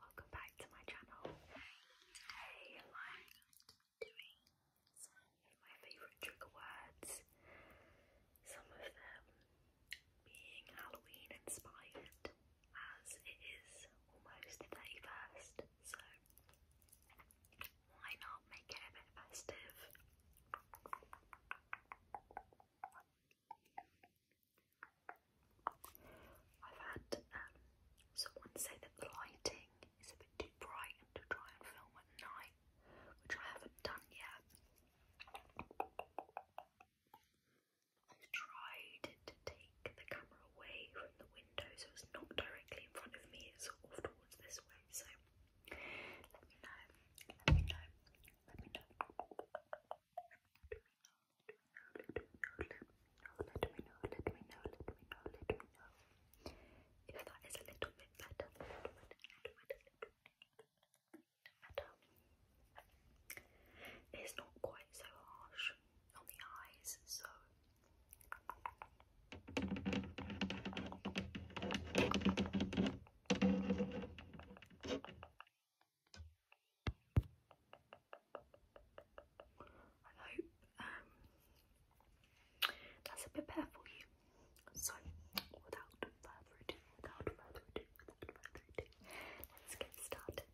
Welcome back to my channel. Today doing some of my favourite trigger words, some of them being Halloween inspired, as it is almost the 31st, so why not make it a bit festive? I've had um, Someone said that the lighting is a bit too bright to try and film at night, which I haven't done yet. I've tried to take the camera away from the window so it's not directly in front of me, it's sort of towards this way. So let me know, let me know, let me know let me know, let me know, let me know, let me know if that is a little bit better. It's not quite so harsh on the eyes, so. I hope um, that's a bit for you. So, without further ado, without further ado, without further ado, let's get started.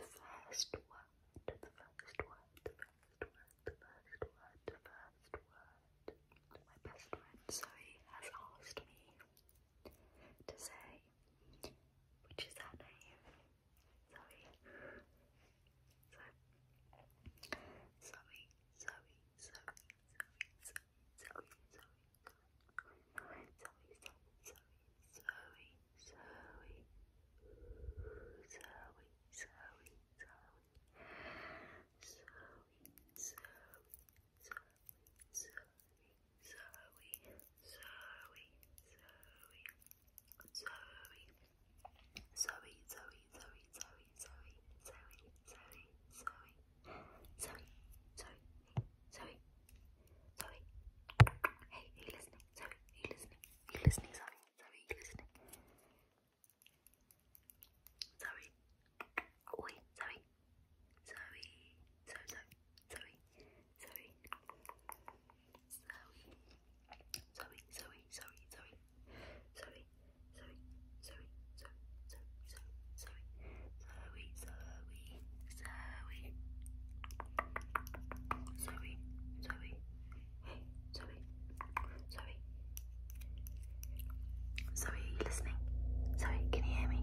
the first word, the first word, the first word, the first word, the first word. My best friend Zoe has asked me to say, which is her name, Zoe. So, Zoe, Zoe, Zoe, Zoe, Zoe, Zoe, Zoe, Zoe, Zoe, Zoe, Zoe, Zoe, Zoe, Zoe, Zoe, Zoe, Zoe, Zoe, Zoe, Zoe, Zoe, Zoe, Zoe, Zoe, Zoe, Zoe, Zoe, Zoe, Zoe, Zoe, Zoe, Zoe, Zoe, Zoey. Hey, are you listening? Zoe, are you listening? Are you listening, Zoe? Zoe, are you listening? Zoe. Oi, Zoe. Zoe. Zoe, Zoe sorry, Zoe, Zoe, Zoe, Zoe, Zoe, Zoe, Zoe, Zoe, Zoe, Zoe, Zoe, Zoe, Zoe, Zoe, Zoe, Zoe, Zoe, Zoe, hey, Zoe, Zoe, Zoe, are you listening? Zoe, can you hear me?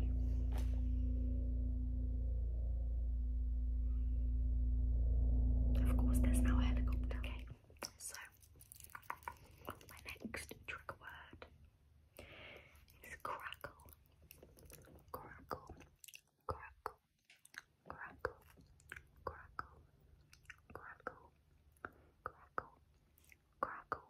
Of course, there's now a helicopter. Okay, so my next trigger word is crackle, crackle, crackle, crackle, crackle, crackle, crackle, crackle,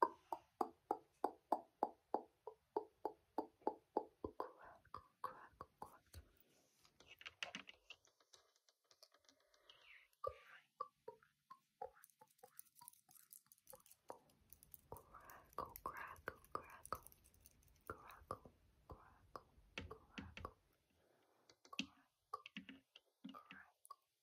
Crackle, crackle, crackle, crackle, crackle, crackle, crackle, crackle, crackle,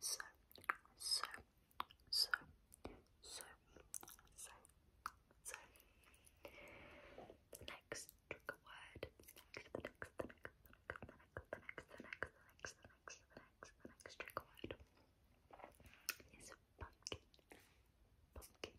So, so, so, so, so, so. The next trigger word, the next, the next, the next, the next, the next, the next, the next, the next, the next trigger word is pumpkin, pumpkin,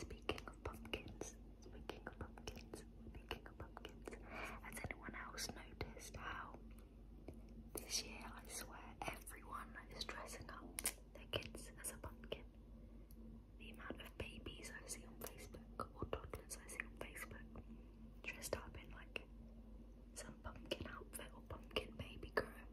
Speaking of pumpkins, speaking of pumpkins, speaking of pumpkins, has anyone else noticed how this year I swear everyone is dressing up their kids as a pumpkin? The amount of babies I see on Facebook or toddlers I see on Facebook dressed up in like some pumpkin outfit or pumpkin baby growing.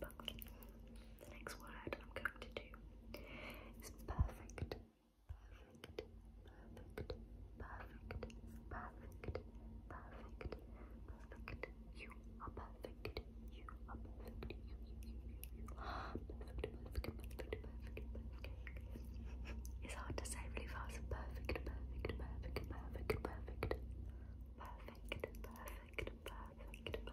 but the next word I'm going to do is perfect. Perfect, perfect, perfect, perfect, perfect, perfect. You are perfect. You are perfect. You, you, you, you, you. Perfect, perfect, perfect, perfect, perfect. It's hard to say really fast. Perfect, perfect, perfect, perfect, perfect. Perfect, perfect, perfect, perfect.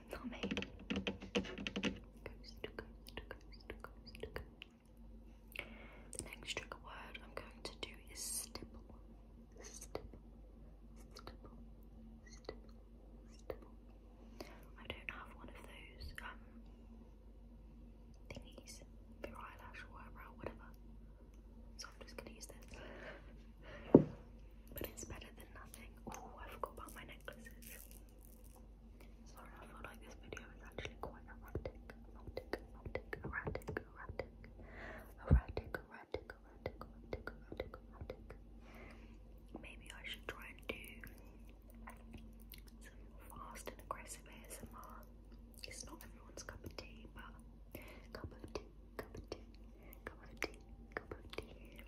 Nome. Coast, coast, coast, coast, word I'm going to do is stipple. I don't have one of those um, thingies for eyelash or eyebrow, whatever. So I'm just gonna use this. but it's better than nothing. Oh, I forgot about my necklaces. Sorry, I feel like this video is actually quite erratic, erratic, erratic, erratic, erratic, erratic, erratic, erratic, erratic, Maybe I should try and do some fast and aggressive ASMR. It's not everyone's cup of tea, but cup of tea, cup of tea, cup of tea, cup of tea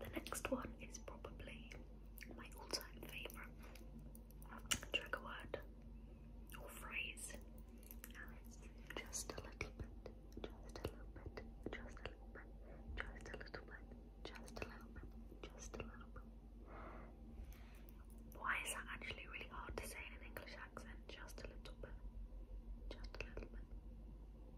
The next one is probably my all-time favourite trigger word or phrase. And just a little bit, just a little bit, just a little bit, just a little bit, just a little bit, just a little bit. Why is that actually really hard to say in an English accent? Just a little bit. Just a little bit.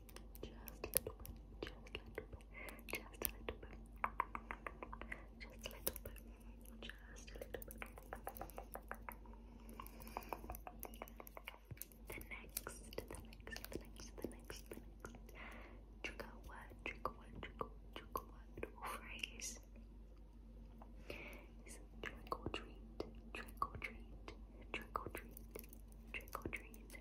The next, the next, the next, the next, the next trigger word, trigger word, trigger, trigger word or phrase is trick or treat, trick treat, trick treat, trick treat.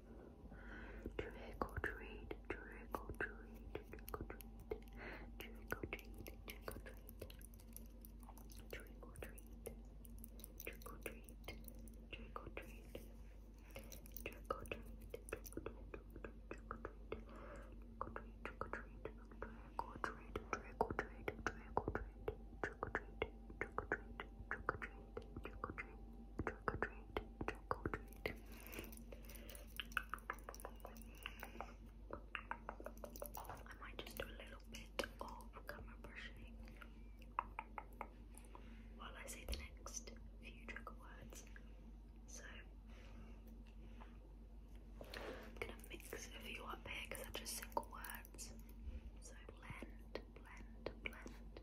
Trick or treat, trick or treat, trick or treat, trick or treat, trick or treat, trick or treat, trick or treat, trick or treat, trick or treat, trick or treat, trick or treat, trick or treat, trick or treat, trick or treat, trick or treat, trick or treat, trick or treat, trick or treat, trick or treat, trick or treat chocolate. I might just do a little bit of camera brushing while I say the next few trigger words. So I'm gonna mix a few up here because they're just single words. So blend, blend, blend.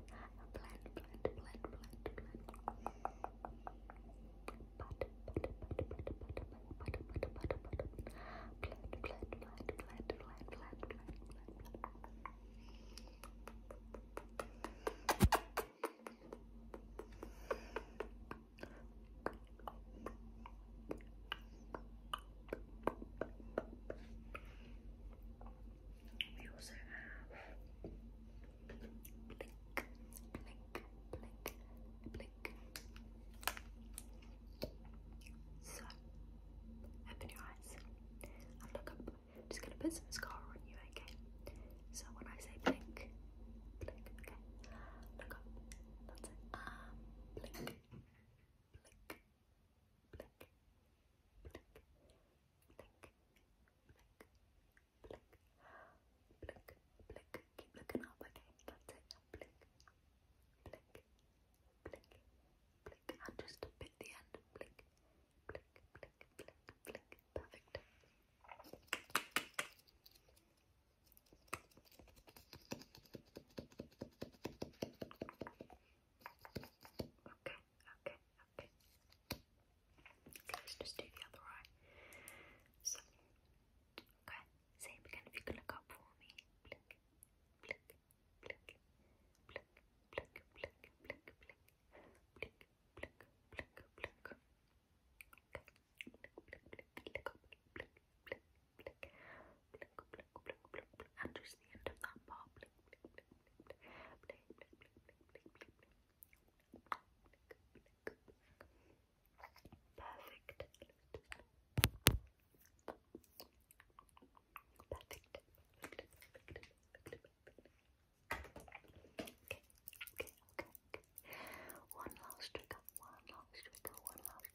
blend, blend, blend, blend, blend. But, but, but, but, but, but, but, but, but, but, but, blend, blend, blend, blend, blend, blend, blend, blend. We also have blink, blink, blink, blink. So open your eyes and look up. just gonna put some mascara on you, okay? So when I say blink, blink, okay. Look up. That's it. blink, blink, blink, blink, blink, blink, blink, blink. Keep looking up, okay? That's it. Blink, blink, blink, blink, and just a bit the end. Blink, blink, blink, blink, blink. Perfect. Okay, okay, okay. let's just do the other eye. So, okay, same again. If you could look up for me, blink, blink, blink, blink, blink, blink, blink, blink, blink, blink, blink, blink. blink, blink, blink, blink, blink, blink, blink, blink, blink, blink, blink, that part, perfect, perfect, okay, okay, okay, one last trigger, one last trigger, one last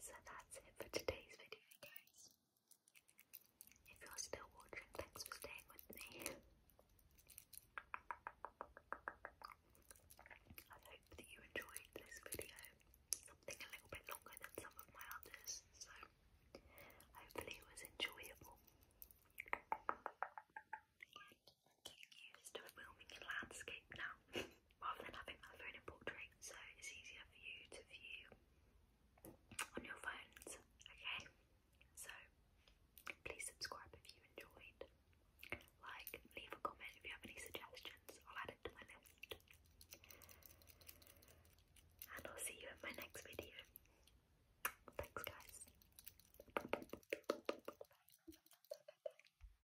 So that's it for today's video guys. If you're still watching, thanks for staying with me. I hope that you enjoyed this video. Something a little bit longer than some of my others, so hopefully it was enjoyable. getting used to filming landscape now. rather than having my phone in portrait, so it's easier for you to view on your phones, okay? So please subscribe if you enjoyed. Like, leave a comment if you have any suggestions, I'll add it to my list. And I'll see you in my next video. Thanks guys.